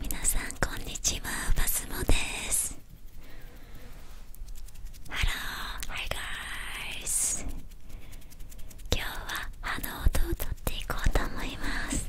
みなさんこんにちはバスモです。ハロー、ハイガー guys。今日はあの音をとっていこうと思います。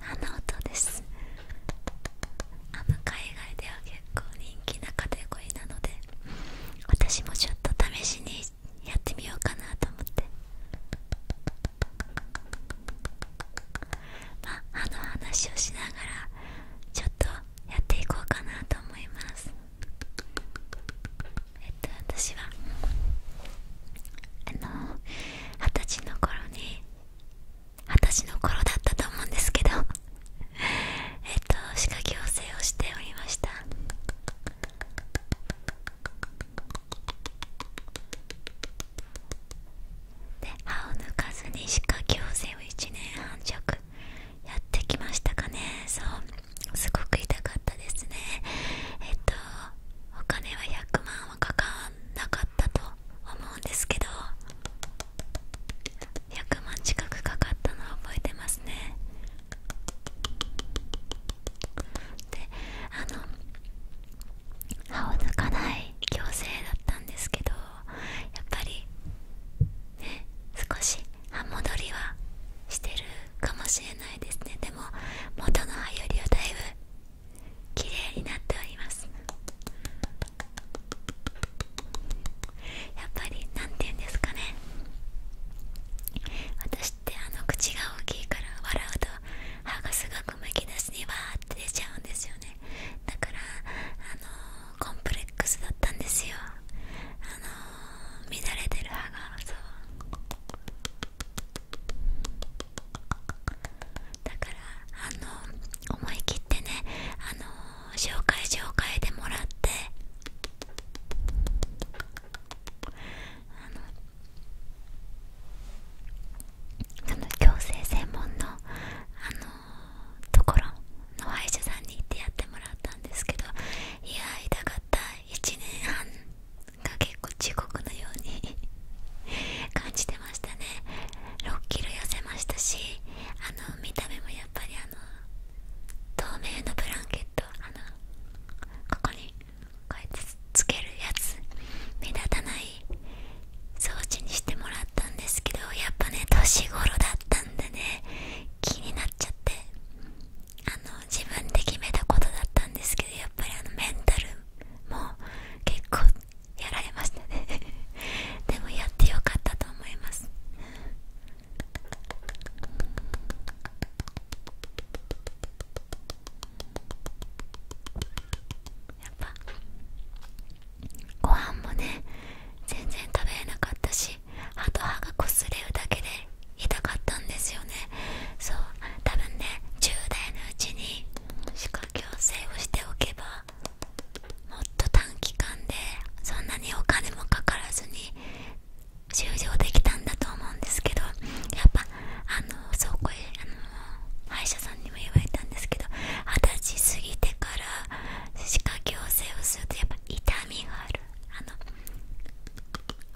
あの音ですあの海外では結構人気なカテゴリーなので私もちょっと試しにやってみようかなと思ってまあの話をしながらちょっとやっていこうかなと思いますえっと私はあの二十歳の頃に私十歳の頃だったと思うんですけど えっと歯科矯正をしておりましたで歯を抜かずに歯科矯正を1年半弱やってきましたかねそうすごく痛かったですねえっとお金は100万はかかんなかったと思うんですけど100万近くかかったのは覚えてますねであの歯を抜かない矯正だったんですけどやっぱりね少し歯戻りはしてるかもしれないですねでも元の歯よりはだいぶ綺麗になっておりますやっぱり何て言うんですかね私ってあの口が大きいから笑うと歯がすごくむき出しにわって出ちゃうんですよねだからあのコンプレックスだったんですよあの乱れてる歯がそうだからあの思い切ってねあの紹介紹介でもらってあのその矯正専門のあのところの歯医者さんに行ってやってもらったんですけどいや痛かった1年半かけ結構地獄のように 感じてましたね6キロ痩せましたしあの見た目もやっぱりあの透明のブランケットここにこうやってつけるやつ目立たない装置にしてもらったんですけどやっぱね年頃だったんでね気になっちゃってあの自分で決めたことだったんですけどやっぱりあのメンタルも結構やられましたね でもやってよかったと思いますやっぱご飯もね全然食べれなかったし歯と歯がこすれるだけで痛かったんですよねそう多分ね1代のうちに歯科矯正をしておけばもっと短期間でそんなにお金もかからずに終了できたんだと思うんですけどやっぱあのそうこへあの歯医者さんにも言われたんですけど二十歳過ぎてから歯科矯正をするとやっぱ痛みがあるあの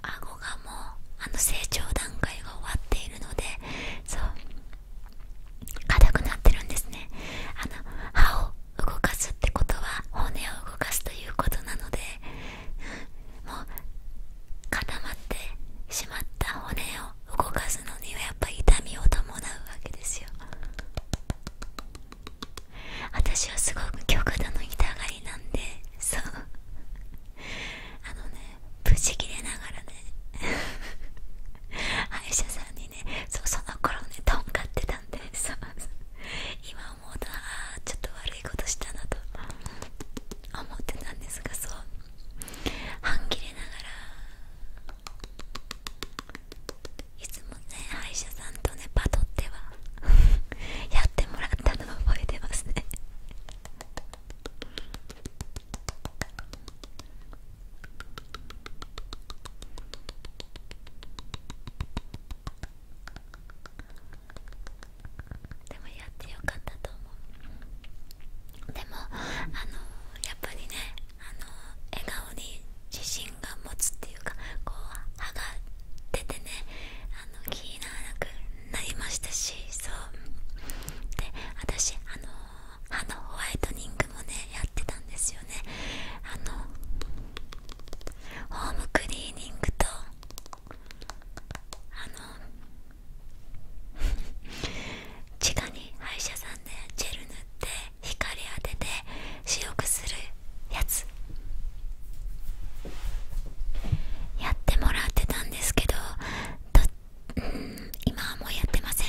顎がもうあの成長段階が終わっているのでそう硬くなってるんですねあの歯を動かすってことは骨を動かすということなのでもう固まってしまった骨を動かすのにはやっぱり痛みを伴うわけですよ私はすごく極度の痛がりなんでそうあのね無事切れながらね 歯医者さんにねそうその頃ねとんがってたんでそ今思うとああちょっと悪いことしたなと思ってたんですがそう半切れながらいつもね歯医者さんとねパトっては やってもらったのを覚えてますねでもやってよかったと思うでもあのやっぱりねあの笑顔に自信が持つっていうかこう歯が出てねあの気にならなくなりましたしそうで私あのあのホワイトニングもねやってたんですよねあのホームクリーニングとあの 地下に歯医者さんでジェル塗って光当てて白くするやつやってもらってたんですけどどっうん今はもうやってません、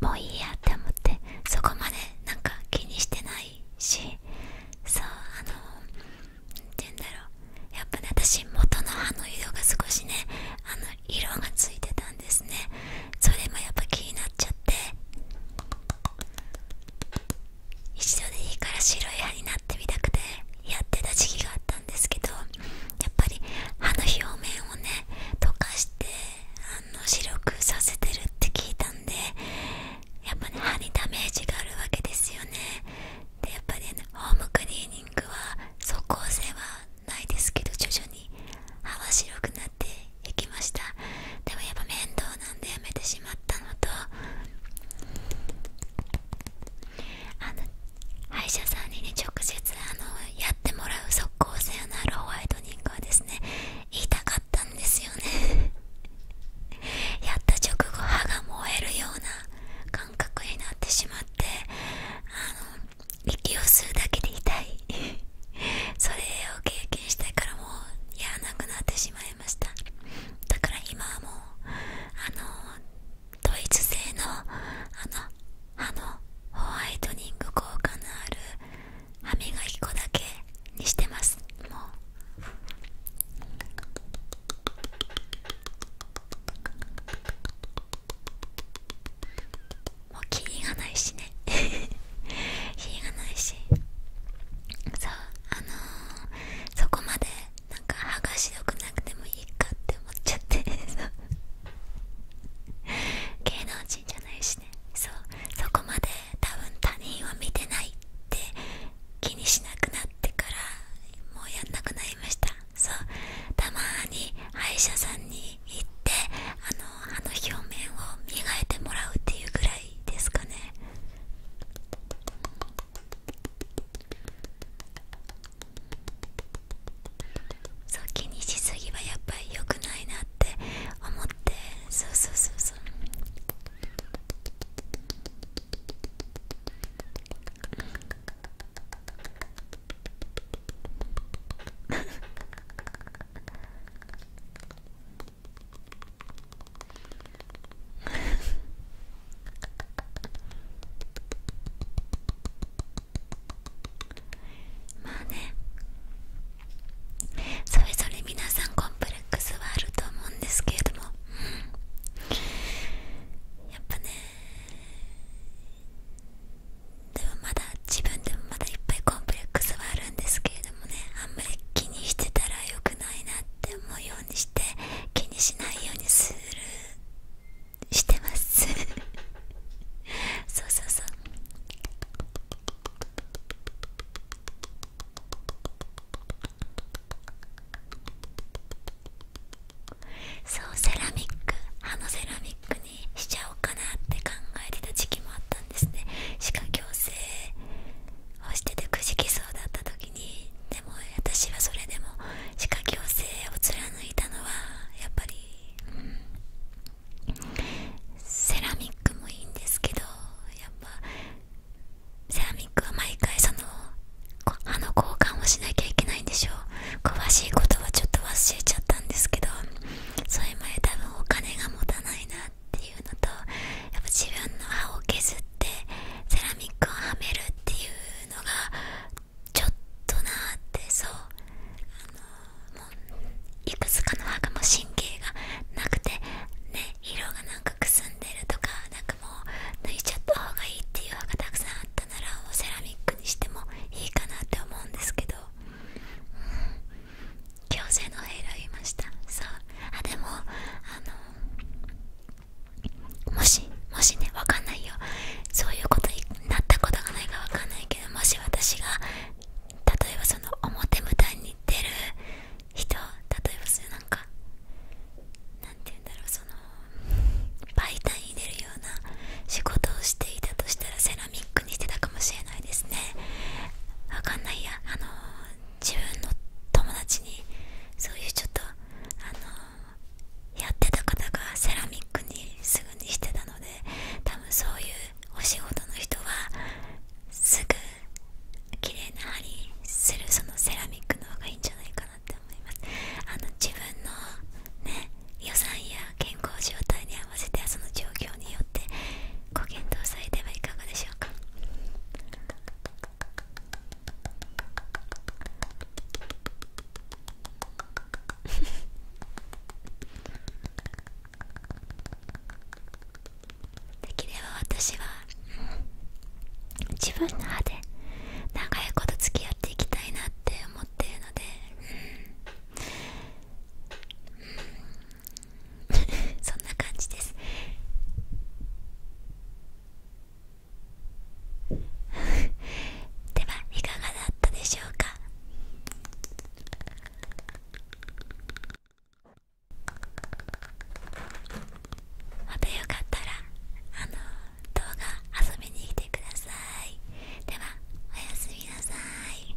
もういいやって思ってそこまでなんか気にしてないしそうあの何て言うんだろうやっぱね私元の歯の色が少しねあの色がついてたんですねそれもやっぱ気になっちゃって一度でいいから白い歯になってみたくてやってた時期があったんですけどやっぱり歯の表面をね溶かしてあの白くさせてるって聞いたんでやっぱり歯にダメージがあるわけですよねでやっぱり、ね、ホームクリーニングは即効性はないですけど徐々に歯は白くなっていきましたでもやっぱ面倒なんでやめてしまったのとあの歯医者さんに、ね、直接あのやってもらう即効性のあるホワイトニングはですね言いたかったんですよね やった直後歯が燃えるような感覚になってしまってあの息を吸うだけで痛い それを経験してからもうやらなくなってしまいましただから今はもうあのドイツ製のあの歯のホワイトニング効果のある歯磨き粉だけにしてますもうもう気リがないしね 気リがないしそうあのそこまでなんか歯が白くなくてもいいかって思っちゃって 芸能人じゃないしねそうそこまで多分他人は見てないって気にしなくなってからもうやんなくなりましたそうたまに歯医者さんに行ってあの歯の表面を磨いてもらうっていうぐらいですかねそう気にしすぎはやっぱり良くないなって思ってそうそうそうそう まあねそれぞれ皆さんコンプレックスはあると思うんですけれども、うん、やっぱねでもまだ自分でもまだいっぱいコンプレックスはあるんですけれどもねあんまり気にしてたら良くないなって思うようにして気にしないようにするしてます そうそうそうそうセラミック歯のセラミックにしちゃおうかなって考えてた時期もあったんですね歯科矯正をしててくじきそうだった時にでも私はそれでも歯科矯正を貫いたのはやっぱりセラミックもいいんですけどやっぱセラミックは毎回その歯の交換をしなきゃいけないんでしょう詳しいことはちょっと忘れちゃったんですけどそれまで多分お金が持たないなっていうのとやっぱ自分の歯を削ってセラミックをはめるっていうのがちょっとなーってそうあのもういくつかの歯がも神経がなくてね色がなんかくすんでるとかなんかもう抜いちゃった方がいいっていう歯がたくさんあったならもうセラミックにしてもいいかなって思うんですけど、うん、矯正のヘ選びましたそうあでもあのもしもしねわかんないよそういうことになったことがないかわかんないけどもし私が例えばその表舞台に出る人例えばそのなんか何て言うんだろうその媒体に出るような仕事をしていたとしたらセラミックにしてたかもしれないですねわかんないやあの自分の友達にそういうちょっとあのやってた方がセラミックにすぐにしてたので多分そういうお仕事の人はすぐ綺麗な針するそのセラミックの方がいいんじゃないかなって思いますあの自分のね予算や健康状態に合わせてその状況によってご検討されてはいかがでしょうかできれば私は、自分の歯で長いこと付き合っていきたいなって思ってるので、うんうん、そんな感じです。ではいかがだったでしょうかかまたよかったらあの動画遊びに来てくださいではおやすみなさい